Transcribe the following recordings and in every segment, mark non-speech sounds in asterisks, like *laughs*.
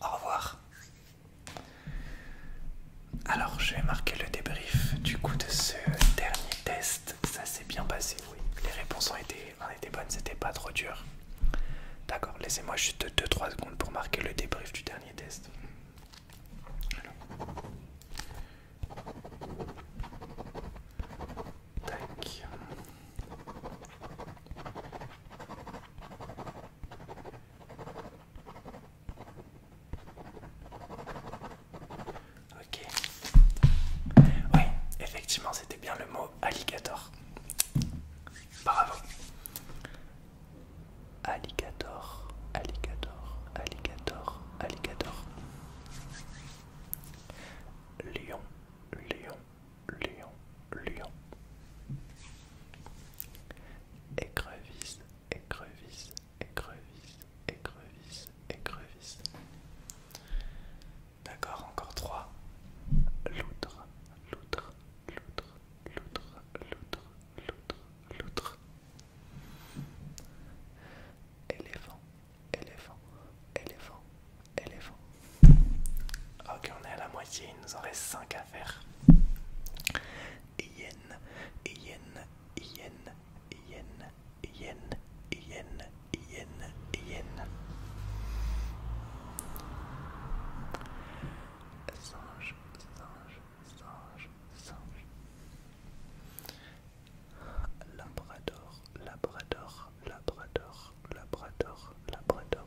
Au revoir. Alors, je vais marquer le débrief du coup de ce dernier test. Ça s'est bien passé, oui. Les réponses ont été, bonnes, c'était pas trop dur. D'accord, laissez-moi juste 2-3 secondes pour marquer le débrief du dernier test. Tac. Ok. Oui, effectivement, c'était bien le mot alligator. Bravo. Alligator, alligator, alligator, alligator. Lion, lion, lion, lion. Écrevisse, écrevisse, écrevisse, écrevisse, écrevisse. D'accord, encore trois. Loutre, loutre, loutre, loutre, loutre, loutre, loutre. Éléphant, éléphant, éléphant, éléphant. Ok, on est à la moitié, il nous en reste 5 à faire. Yen, yen, yen, yen, yen, yen, yen, yen. Singe, singe, singe, singe. Labrador, labrador, labrador, labrador, labrador,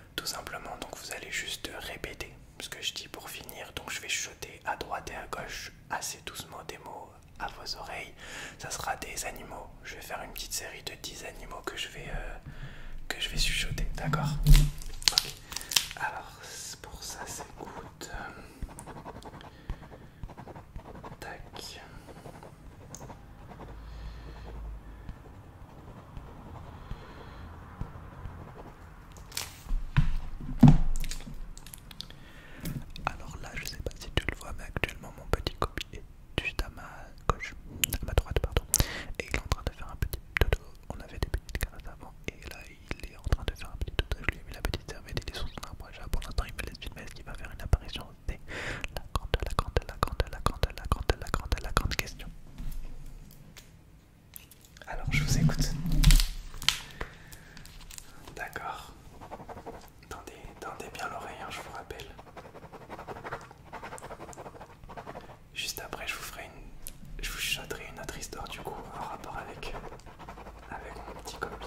Tout simplement, donc vous allez juste répéter ce que je dis pour finir. Donc je vais chuter à droite et à gauche assez doucement des mots à vos oreilles. Ça sera des animaux. Je vais faire une petite série de 10 animaux que je vais euh, que je vais chuchoter, d'accord Alors pour ça c'est s'écoute. Tac. Alors là, je sais pas si tu le vois, mais actuellement mon petit copie est juste à ma gauche, à ma droite, pardon. Et il est en train de faire un petit dodo. On avait des petites carottes avant, et là il est en train de faire un petit dodo. Je lui ai mis la petite serviette, il est sur son arbre. Pour l'instant, il fait laisse filmer. Est-ce qu'il va faire une apparition la grande, la grande, la grande, la grande, la grande, la grande, la grande question. Alors je vous écoute. D'accord. Tendez, tendez bien l'oreille, hein, je vous rappelle. Juste après, je vous ferai une, je vous chuchoterai une autre histoire du coup en rapport avec, avec mon petit copie.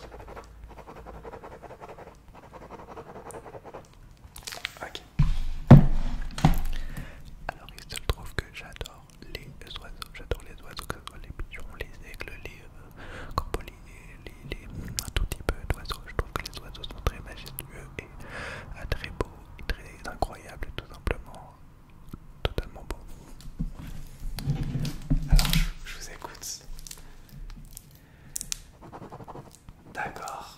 Ok. Alors il se trouve que j'adore les oiseaux. J'adore les oiseaux, que ce soit les pigeons, les aigles, les euh, les, les, tout peu d'oiseaux. Je trouve que les oiseaux sont très majestueux et euh, très beaux, très incroyables, tout simplement. Totalement beau. Alors je vous écoute. D'accord.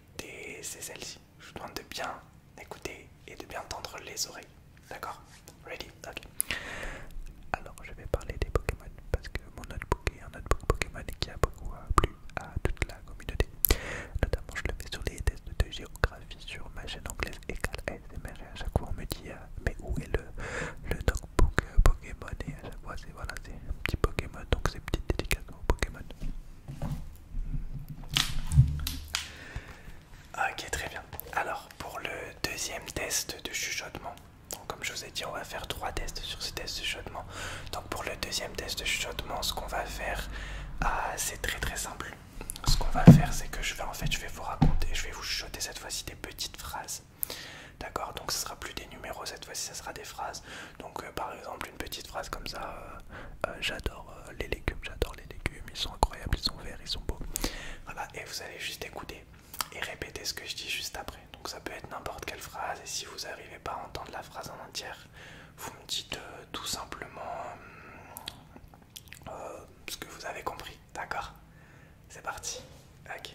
c'est celle-ci. Je vous demande de bien écouter et de bien tendre les oreilles. D'accord Ready Ok. Alors, je vais parler des Pokémon parce que mon notebook est un notebook Pokémon qui a beaucoup euh, plu à toute la communauté. Notamment, je le fais sur les tests de géographie sur ma chaîne anglaise Et et à chaque fois on me dit euh, mais où est le, le notebook euh, Pokémon et à chaque fois c'est voilà, un petit Pokémon donc c'est petite dédicace au Pokémon. Ok, très bien. Alors, pour le deuxième test de chuchotement, comme je vous ai dit, on va faire trois tests sur ce test de chuchotement. Donc, pour le deuxième test de chuchotement, ce qu'on va faire, ah, c'est très très simple. Ce qu'on va faire, c'est que je vais en fait, je vais vous raconter, je vais vous chuchoter cette fois-ci des petites phrases. D'accord, donc ce sera plus des numéros cette fois-ci, ce sera des phrases. Donc euh, par exemple une petite phrase comme ça, euh, euh, j'adore les légumes, j'adore les légumes, ils sont incroyables, ils sont verts, ils sont beaux. Voilà, et vous allez juste écouter et répéter ce que je dis juste après. Donc ça peut être n'importe quelle phrase et si vous n'arrivez pas à entendre la phrase en entière, vous me dites tout simplement ce que vous avez compris, d'accord C'est parti. 4,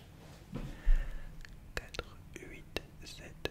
8, 7,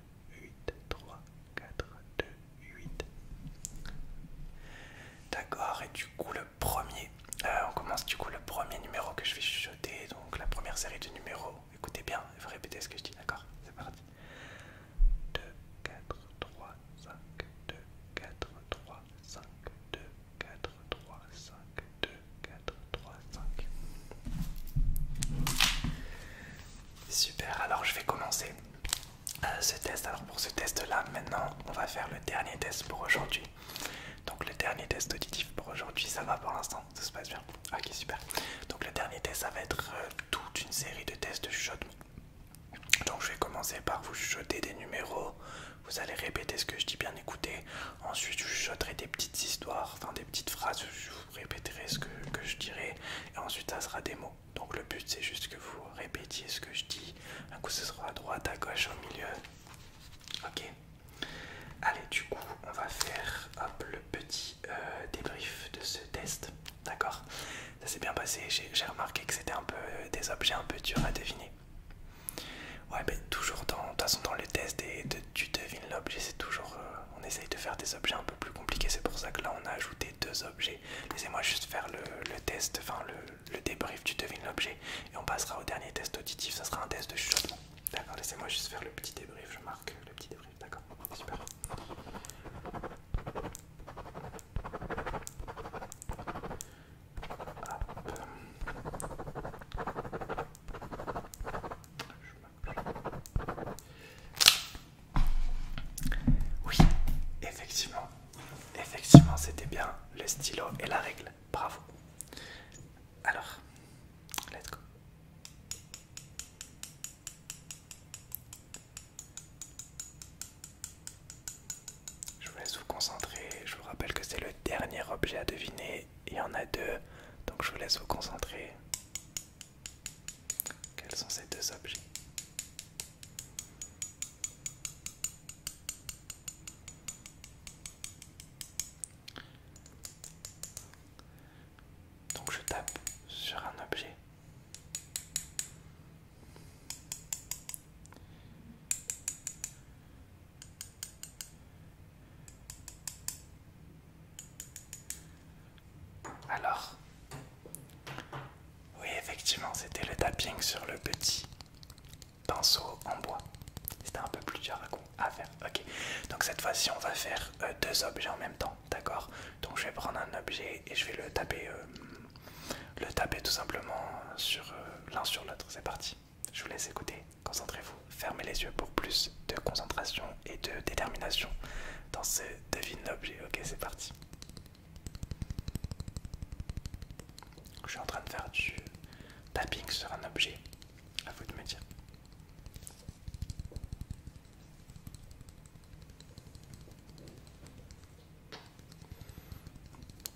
8, 3, 4, 2, 8. D'accord, et du coup, le premier, euh, on commence du coup le premier numéro que je vais chuchoter, donc la première série de numéros. Écoutez bien, il ce que je dis, d'accord C'est parti. 2, 4, 3, 5, 2, 4, 3, 5, 2, 4, 3, 5, 2, 4, 3, 5. Super, alors je vais commencer euh, ce test. Alors pour ce test là, maintenant on va faire le dernier test pour aujourd'hui. Donc le dernier test auditif pour aujourd'hui, ça va pour l'instant, ça se passe bien. Ah, ok, super. Donc le dernier test, ça va être euh, toute une série de tests de chuchotement. Donc je vais commencer par vous chuchoter des numéros, vous allez répéter ce que je dis bien écoutez ensuite je chuchoterai des petites histoires, enfin des petites phrases, je vous répéterai ce que, que je dirai, et ensuite ça sera des mots. Donc le but c'est juste que vous répétiez ce que je dis. Un coup ce sera à droite, à gauche, au milieu. Ok. Allez, du coup, on va faire un le petit euh, débrief de ce test. D'accord Ça s'est bien passé. J'ai remarqué que c'était un peu euh, des objets un peu durs à deviner. Ouais, mais ben, toujours dans, de test, dans et tu devines l'objet, c'est toujours, euh, on essaye de faire des objets un peu plus compliqués. C'est pour ça que là, on a ajouté deux objets. Laissez-moi juste faire le, test, enfin le, débrief tu devines l'objet et on passera au dernier test auditif, ça sera un test de chuchotement. D'accord, laissez-moi juste faire le petit débrief, je marque le petit débrief, d'accord, super. Oui, effectivement, effectivement, c'était bien le stylo et la règle. Bravo. Alors, let's go. Je vous laisse vous concentrer. Je vous rappelle que c'est le dernier objet à deviner. Il y en a deux, donc je vous laisse vous concentrer. Quels sont ces deux objets donc je tape sur un objet. Alors, oui, effectivement, c'était le tapping sur le petit pinceau en bois. C'était un peu plus dur à faire. Ok, donc cette fois-ci, on va faire euh, deux objets en même temps, d'accord Donc, je vais prendre un objet et je vais le taper, euh, le taper tout simplement sur euh, l'un sur l'autre. C'est parti. Je vous laisse écouter. Concentrez-vous. Fermez les yeux pour plus de concentration et de détermination dans, ce, devine l'objet, ok c'est parti. Je suis en train de faire du tapping sur un objet, à vous de me dire.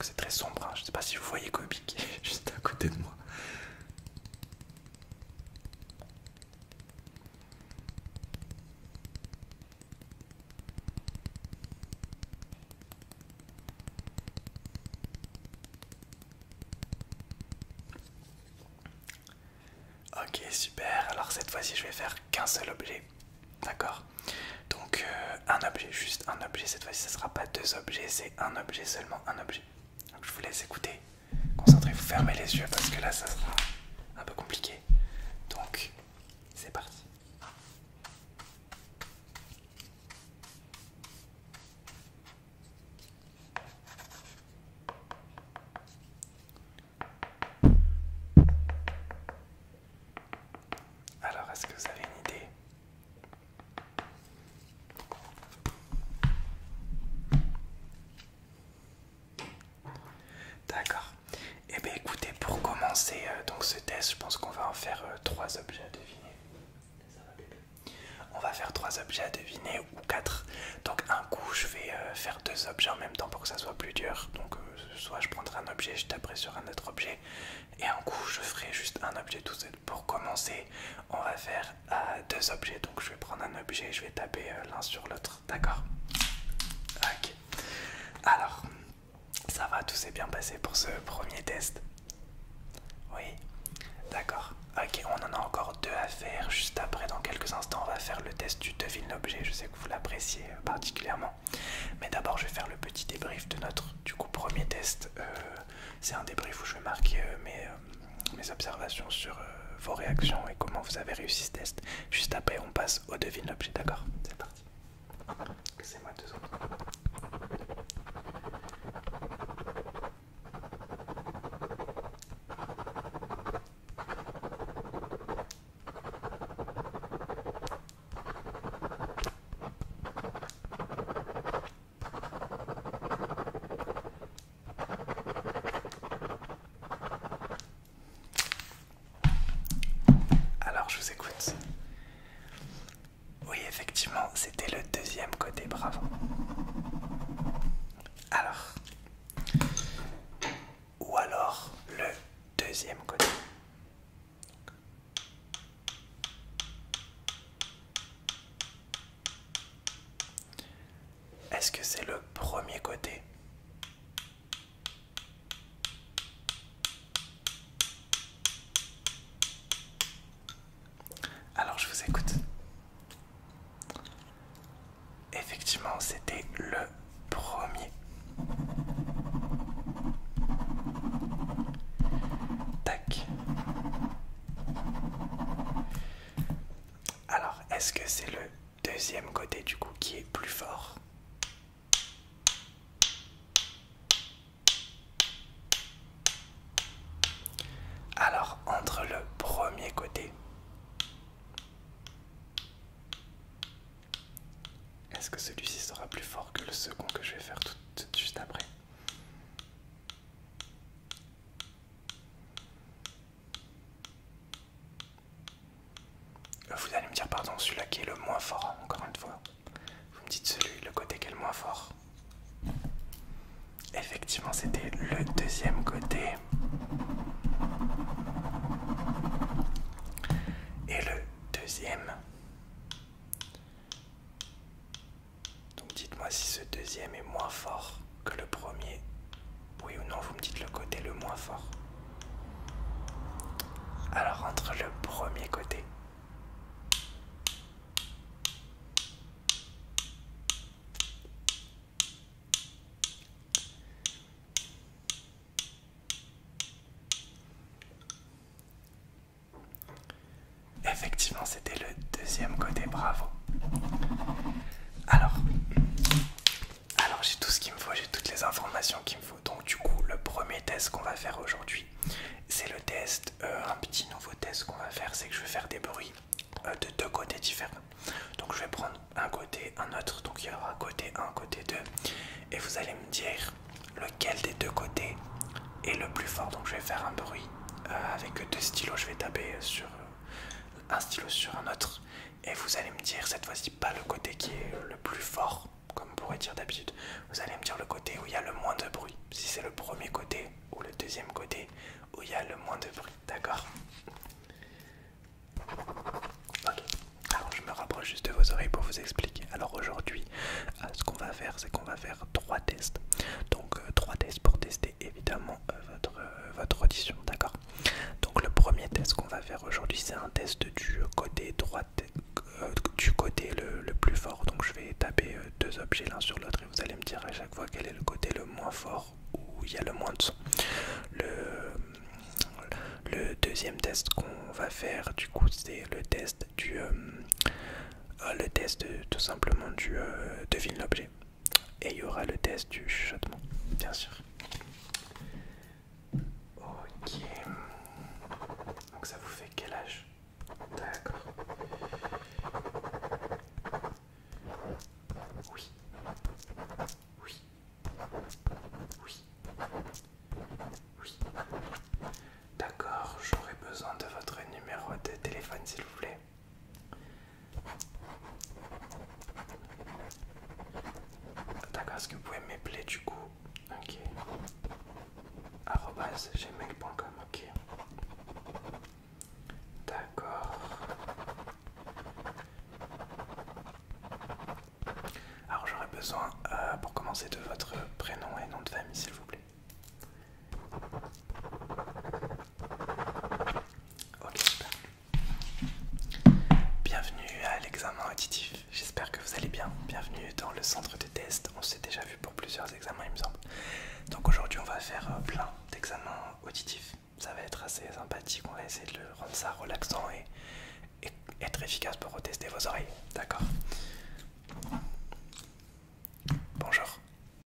C'est très sombre, hein. je sais pas si vous voyez Kobe qui est *laughs* juste à côté de moi. Ok super, alors cette fois-ci je vais faire qu'un seul objet, d'accord Donc euh, un objet, juste un objet, cette fois-ci ce ne sera pas deux objets, c'est un objet, seulement un objet. je vous laisse écouter. Concentrez-vous, fermez les yeux parce que là ça sera un peu compliqué. Donc c'est parti. Alors, est-ce que vous avez une idée D'accord. Et eh bien écoutez, pour commencer euh, donc ce test, je pense qu'on va en faire euh, trois objets à deviner. On va faire trois objets à deviner ou quatre. Donc un coup, je vais euh, faire deux objets en même temps pour que ça soit plus dur. Donc soit je prendrai un objet, je taperai sur un autre objet, et un coup, je ferai juste un objet tout seul. Pour commencer, on va faire deux objets. Donc je vais prendre un objet je vais taper euh, l'un sur l'autre. D'accord Ok. Alors, ça va, tout s'est bien passé pour ce premier test Oui D'accord. Ok, on en a encore deux à faire juste après. Dans quelques instants, on va faire le test du devine l'objet. Je sais que vous l'appréciez euh, particulièrement. Mais d'abord, je vais faire le petit débrief de notre du coup premier test. Euh, c'est un débrief où je vais marquer mais mes mes observations sur euh, vos réactions et comment vous avez réussi ce test. Juste après, on passe au devine l'objet, d'accord C'est parti. C'est moi alors je vous écoute. Oui, effectivement, c'était le deuxième côté, bravo. Alors. Ou alors le deuxième côté. Est-ce que c'est le premier côté Alors je vous écoute. Effectivement, c'était le premier. Tac. Alors, est-ce que c'est le deuxième côté du coup qui est plus fort Alors, entre le premier côté, est-ce que celui-ci sera plus fort que le second que je vais faire tout, juste après vous allez me dire, pardon, celui-là qui est le moins fort, encore une fois. Vous me dites celui, le côté qui est le moins fort. Effectivement, c'était le deuxième côté. Et le deuxième donc dites-moi si ce deuxième est moins fort que le premier. Oui ou non, vous me dites le côté le moins fort. Alors entre le premier côté Effectivement, c'était le deuxième côté, bravo. Alors, alors j'ai tout ce qu'il me faut, j'ai toutes les informations qu'il me faut. Donc du coup, le premier test qu'on va faire aujourd'hui, c'est le test, euh, un petit nouveau test qu'on va faire, c'est que je vais faire des bruits euh, de deux côtés différents. Donc je vais prendre un côté, un autre, donc il y aura côté un, côté 2, et vous allez me dire lequel des deux côtés est le plus fort. Donc je vais faire un bruit euh, avec deux stylos, je vais taper sur un stylo sur un autre et vous allez me dire cette fois-ci pas le côté qui est le plus fort comme on pourrait dire d'habitude vous allez me dire le côté où il y a le moins de bruit si c'est le premier côté ou le deuxième côté où il y a le moins de bruit d'accord alors je me rapproche juste de vos oreilles pour vous expliquer alors aujourd'hui euh, ce qu'on va faire c'est qu'on va faire trois tests donc euh, trois tests pour tester évidemment euh, euh, votre, audition, d'accord Donc le premier test qu'on va faire aujourd'hui, c'est un test du côté droit euh, du côté le, plus fort. Donc je vais taper deux objets l'un sur l'autre et vous allez me dire à chaque fois quel est le côté le moins fort où il y a le moins de son. Le, deuxième test qu'on va faire, du coup, c'est le test du... le test tout simplement du devine l'objet et il y aura le test du chuchotement, bien sûr. Ok. Donc ça vous fait quel âge D'accord. Oui. Oui. Oui. Oui. D'accord, j'aurai besoin de votre numéro de téléphone s'il vous plaît. D'accord, est-ce que vous pouvez m'épeler du coup Ok. Arrobas ok. D'accord. Alors j'aurais besoin euh, pour commencer de votre prénom et nom de famille s'il vous plaît. Bienvenue à l'examen auditif. J'espère que vous allez bien. Bienvenue dans le centre de test. On s'est déjà vu pour plusieurs examens, il me semble. Donc aujourd'hui, on va faire euh, plein d'examens auditifs. Ça va être assez sympathique. On va essayer de le rendre ça relaxant et être efficace pour retester vos oreilles. D'accord Bonjour.